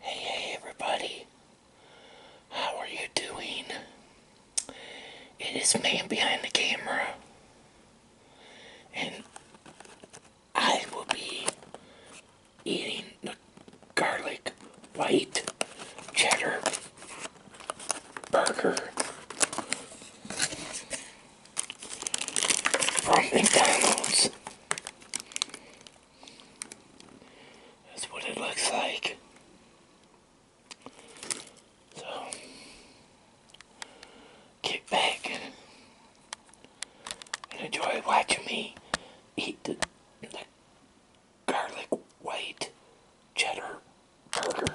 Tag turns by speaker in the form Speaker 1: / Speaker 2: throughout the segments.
Speaker 1: Hey, hey, everybody. How are you doing? It is man behind the camera. And I will be eating the garlic white cheddar burger from McDonald's. That's what it looks like. So, get back and enjoy watching me eat the, garlic white cheddar burger.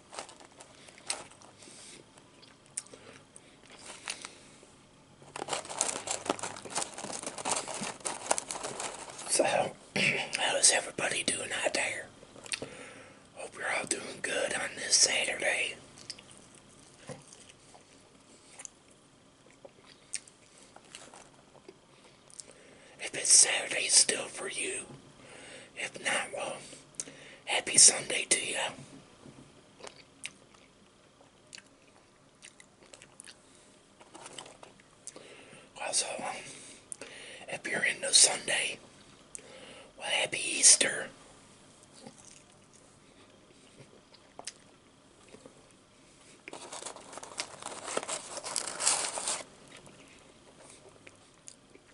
Speaker 1: So, how is everybody doing out there? Hope you're all doing good on this Saturday. If it's Saturday still for you, if not, well, happy Sunday to you. Also, um, if you're into Sunday, well, happy Easter.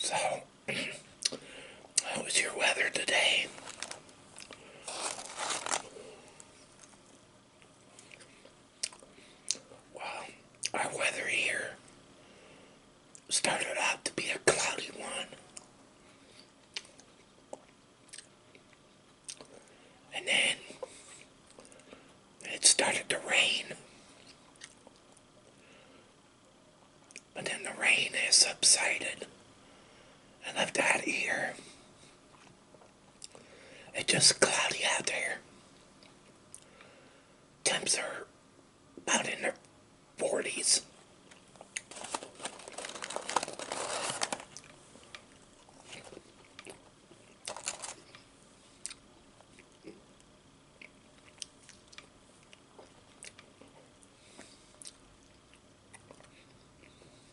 Speaker 1: So, how was your weather today? well, our weather here started out to be a cloudy one. And then it started to rain. But then the rain has subsided and I've got here it's just cloudy out there. Temps are about in their 40s.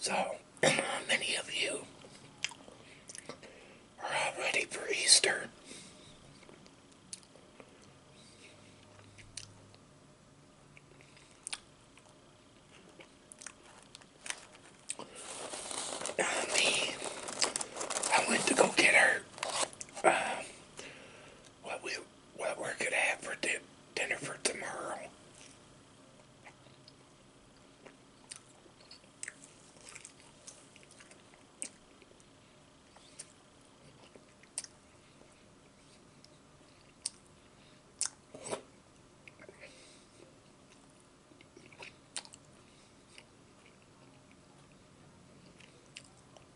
Speaker 1: So, many of you are all ready for Easter. Uh, me, I went to go get her um, what we what we're gonna have for dinner for tomorrow.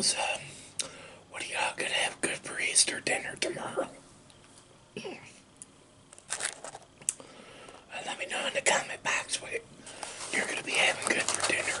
Speaker 1: so, what are y'all gonna have good for Easter dinner tomorrow? Uh, let me know in the comment box what you're gonna be having good for dinner.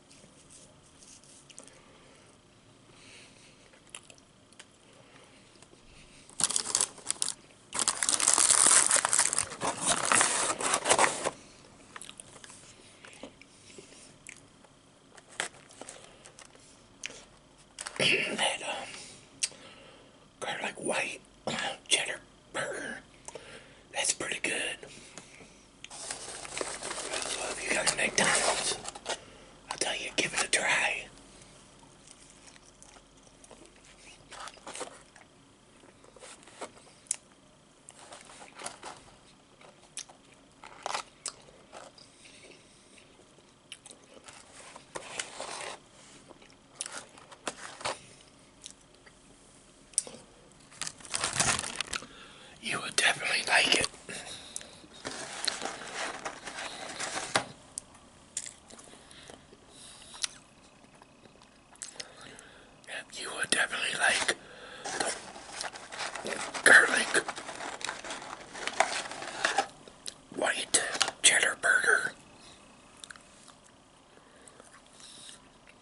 Speaker 1: that garlic um, white cheddar burger. That's pretty good. Well, if you got the McDonald's, I'll tell you, give it a try. You would definitely like it. You would definitely like the garlic white cheddar burger.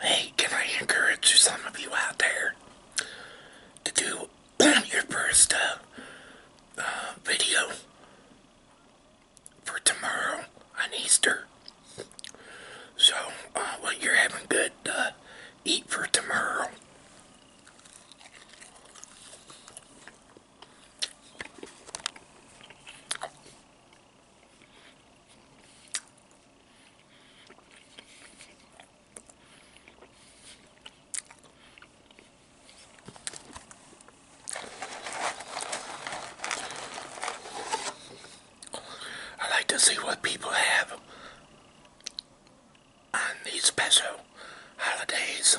Speaker 1: Hey, can I encourage some of you out there to do your first uh, uh video for tomorrow on Easter. So, uh, well, you're having good uh, eat for tomorrow. I like to see what people have on these special holidays.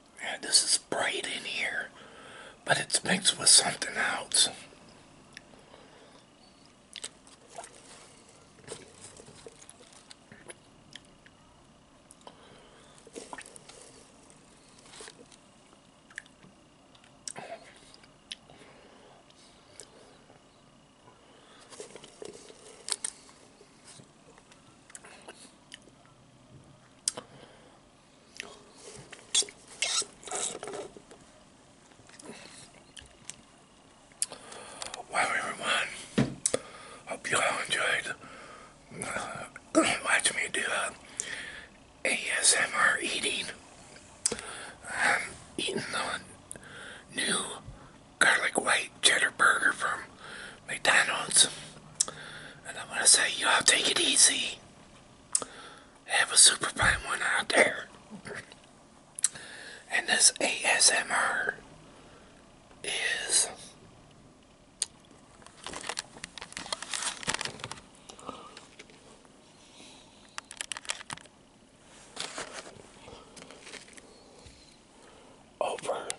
Speaker 1: Yeah, this is bright in here, but it's mixed with something else. Wow, everyone. Hope you all enjoyed watching me do uh, ASMR eating. I'm eating the new garlic white cheddar burger from McDonald's. And I'm going to say, y'all take it easy have a super fine one out there. And this ASMR is over.